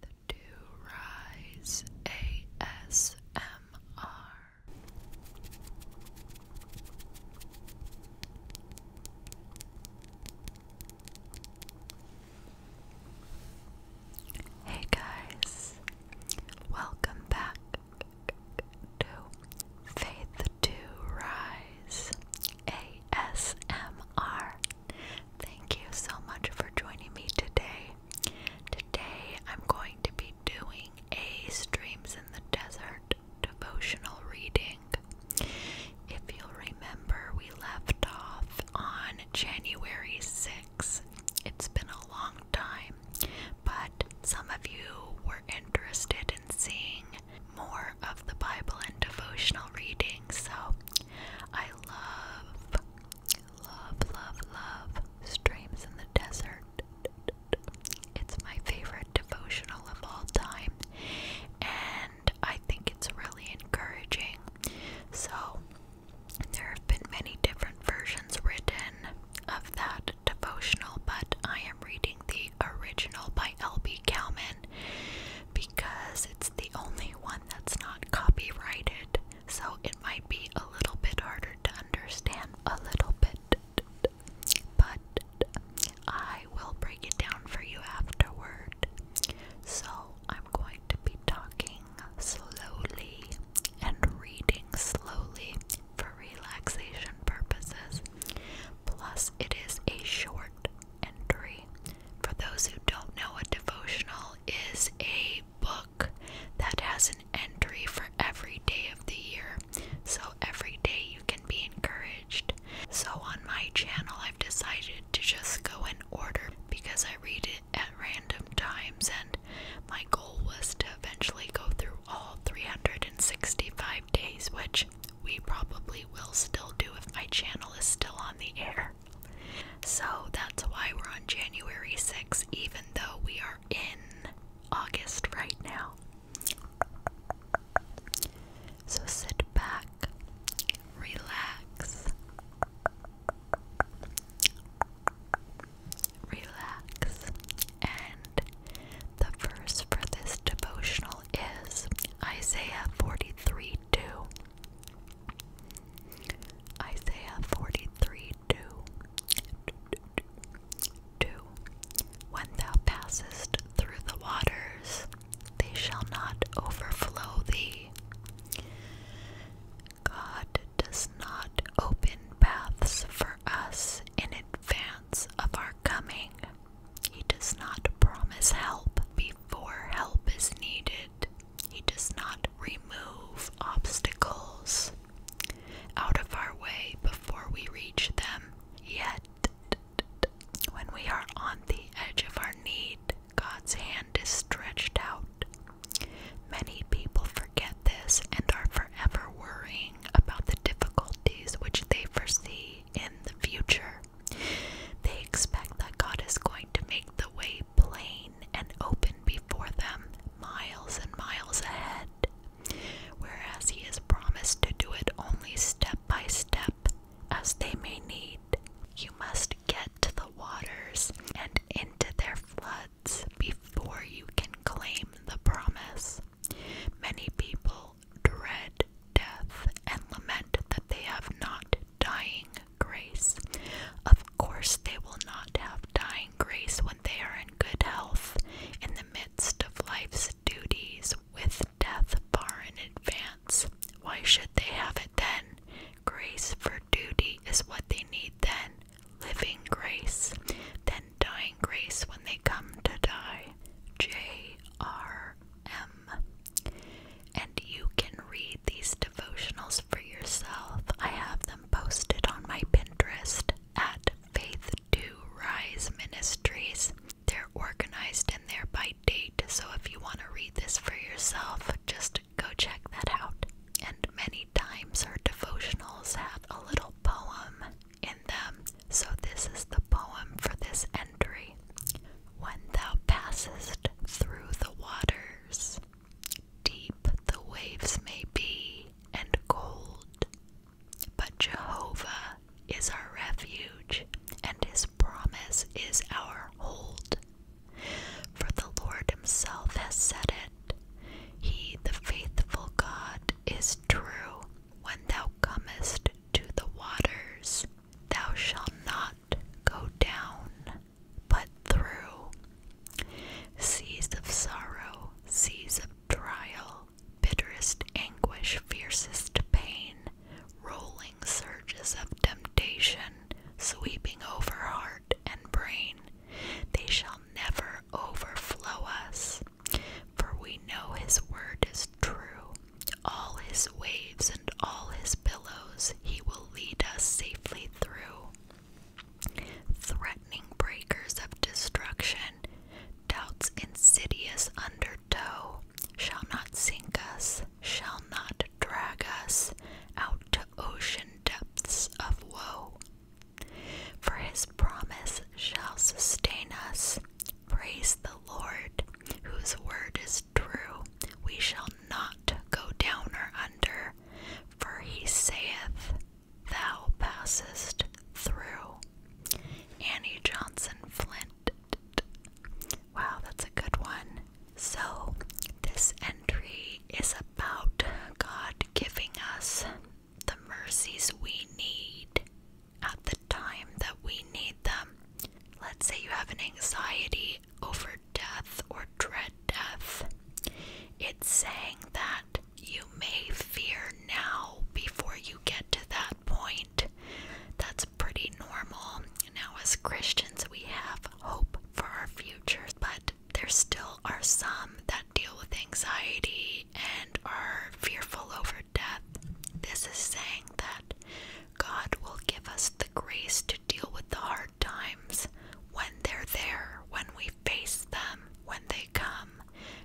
the Do Hey guys, welcome back to Faith to Rise ASMR. Thank you so much for joining me today. Today I'm going to be doing a Streams in the Desert devotional reading. If you'll remember, we left off on January 6th. It's been a long time, but some of you were interested in seeing more of the Bible and devotional reading, so I love, love, love, love Streams in the Desert. It's my favorite devotional of all time, and I think it's really encouraging. So, there have been many different versions written of that devotional, but I am reading the original by L.B. Cowman because it's the only one that's not copyrighted, so it might be a little bit harder to understand, a little bit, but I will break it down for you afterward. So I'm going to be talking slowly and reading slowly for relaxation purposes. Plus, it is a short entry. For those who don't know, a devotional is a book that has an entry for every day of the year. So every day you can be encouraged. So on my channel, I've decided to just go in order because I read it at random times, and my goal was to eventually go through all 365 days, which we probably will still do if my channel is still on the air. So that's why we're on January 6, even though we are in August right now. So sit back, relax, relax, and the verse for this devotional is Isaiah 43 2. Isaiah 43 When thou passest through the waters, they shall not overflow thee. God does not open paths for us in advance of our coming. He does not promise help before help is needed. He does not remove obstacles out of our way before we reach them. Yet, when we are on the edge of our need, God's hand is stretched out. Many people forget this and are forever worrying about the difficulties which they foresee in the future. They expect that God is going to make the way plain and open before them, miles and miles ahead, whereas He has promised to do it only step by step as they may need. You must get to the waters and into their floods before you can claim the promise. Many people dread death and lament that they have not dying grace. Of course, they will not have dying grace when they are in good health, in the midst of life's duties, with death far in advance. Why should they have it then? Grace for duty is what they need then, living grace, then dying grace when they come to die. J.R.M. And you can read these devotionals for yourself. I have them posted on my Pinterest at Faith to Rise Ministries. They're organized in there by date, so if you want to read this for yourself, just go check that out. And many times our devotionals have a little poem in them so this is the poem for this entry. When thou passest through the waters, deep the waves may be and cold, but Jehovah is our refuge, and his promise is our hold. For the Lord himself has said it. He, the faithful God, is true. When thou comest to the waters, Thou shalt not go down, but through seas of sorrow, seas of trial, bitterest anguish, fiercest pain, rolling surges of temptation, sweeping over heart and brain. They shall never overflow us, for we know His word is true all his waves and all his billows, he will lead us safely through. Threatening breakers of destruction, doubt's insidious undertow, shall not sink us, shall not drag us out to ocean depths of woe. For his promise shall sustain us. Praise the Lord, whose word is true, we shall not go down or under, for he saith, Thou passest through. Annie Johnson Flint. Wow, that's a good one. So, this entry is about God giving us the mercies we need at the time that we need them. Let's say you have an anxiety over death or dread death. It's saying that you may fear now before you get to that point. That's pretty normal. Now, as Christians, we have hope for our future, but there still are some that deal with anxiety and are fearful over death, this is saying that God will give us the grace to deal with the hard times when they're there, when we face them, when they come.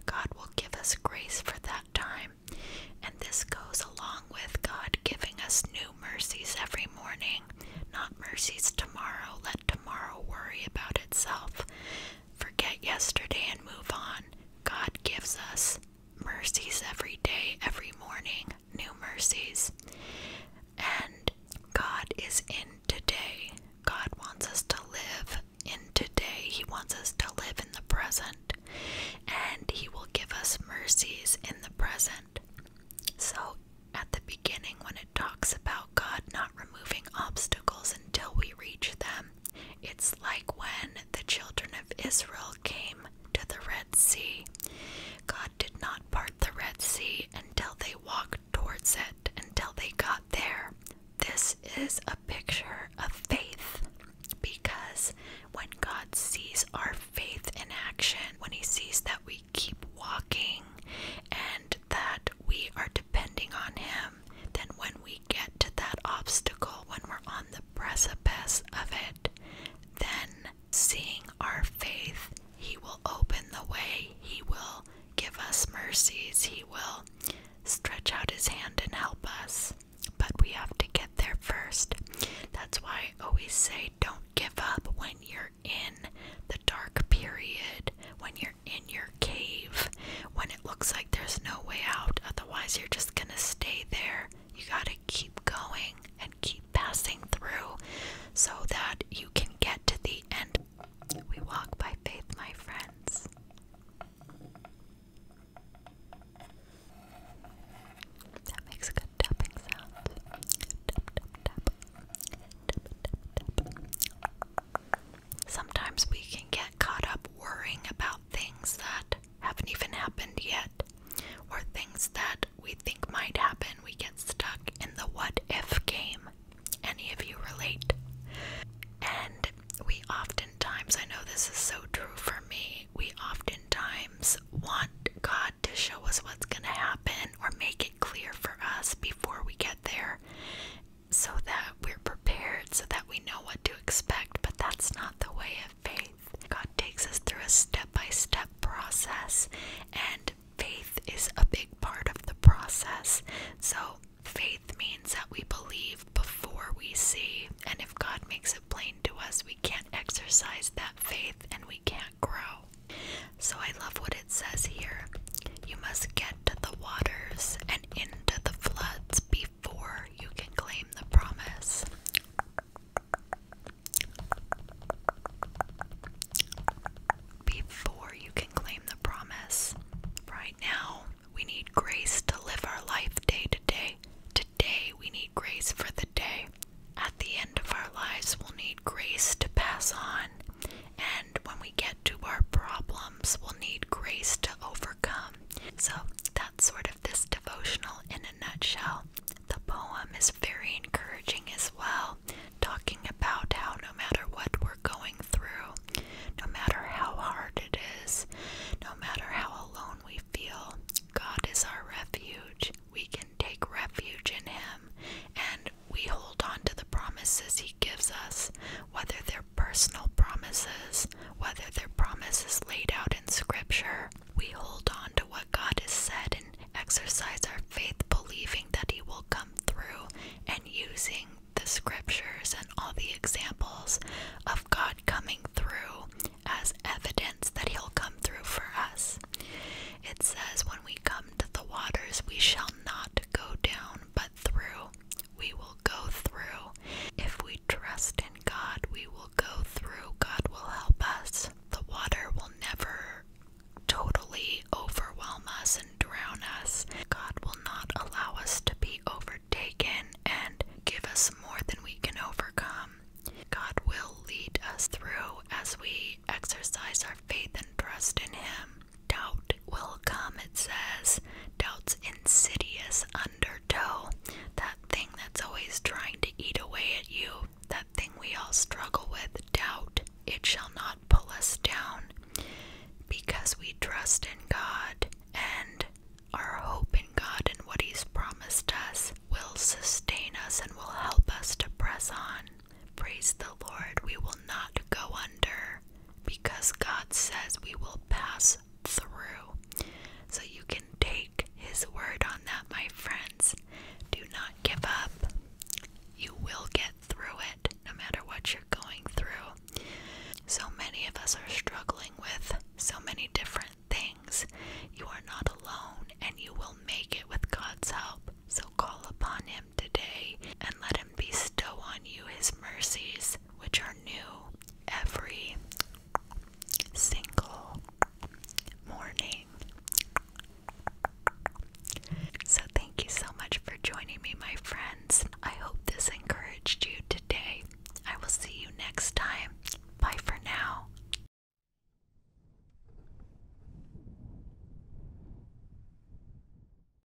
God will give us grace for that time. And this goes along with God giving us new mercies every morning, not mercies tomorrow. Let tomorrow worry about itself. Forget yesterday and move on. God gives us mercies every day, every morning, new mercies. And God is in today. God wants us to live in today. He wants us to live in the present. And He will give us mercies in the present. So, at the beginning, when it talks about God not removing obstacles until we reach them, it's like when the children of Israel came to the Red Sea. God did not part the Red Sea until they walked towards it, until they got there. This is a picture of faith because when God sees our faith in action, when He sees that we keep walking and that we are depending on Him, then when we get to that obstacle, when we're on the precipice of it, then seeing our faith, He will open the way, He will give us mercies, He will stretch out His hand and help us. But we have to get there first. That's why I always say don't give up when you're in the dark period, when you're in your cave, when it looks like there's no way out, otherwise, you're just gonna stay there. You gotta keep going and keep passing through so that you can get to the end. We walk by faith, my friends. That makes good tapping sound. Sometimes we can get caught up worrying about things that haven't even happened yet, or things that we think might happen. We get stuck in the what if game. Any of you relate? And we oftentimes, I know this is so true for me, we oftentimes want God to show us what's going to happen or make it clear for us before we get there so that we're prepared, so that we know what to expect, but that's not the way of faith. God takes us through a step by step process, and faith is a big part of the process. So, faith means that we believe before we see, and if God makes it plain to us, we can't exercise that faith and we can't grow. So, I love what it says here. You must get to the waters and into the floods before before you can claim the promise. Before you can claim the promise. Right now, we need grace to live our life day to day. Today, we need grace for the day. At the end of our lives, we'll need grace to pass on. And when we get to our problems, we'll need grace to overcome. So that's sort of this devotional in a nutshell. The poem is very encouraging as well, talking about how no matter what we're going through, no matter how hard it is, no matter how alone we feel, God is our refuge. We can take refuge in Him and we hold on to the promises He gives us, whether they're personal promises, whether their promise is laid out in Scripture. We hold on to what God has said and exercise our faith, believing that He will come through and using the Scriptures and all the examples of God coming through as evidence that He'll come through for us. It says, When we come to the waters, we shall not go down but through we will go through. If we trust in God, we will go through. God will help us. The water will never totally overwhelm us and drown us. God will not allow us to be overtaken and give us more than we can overcome. God will lead us through as we exercise our faith and trust in Him. Doubt will come, it says. Doubt's insidious undertow. That thing that's always trying to eat away at you. That thing we all struggle with. Doubt. It shall not pull us down. Because we trust in God and our hope in God and what He's promised us will sustain us and will help us to press on. Praise the Lord. We will not go under because God says we will pass through. So you can take His word on that, my friends. Do not give up. You will get through it no matter what you're going through. So many of us are struggling with so many different things. You are not alone and you will make it with God's help. So call upon Him today, and let him bestow on you his mercies, which are new every single morning. So, thank you so much for joining me, my friends. I hope this encouraged you today. I will see you next time. Bye for now.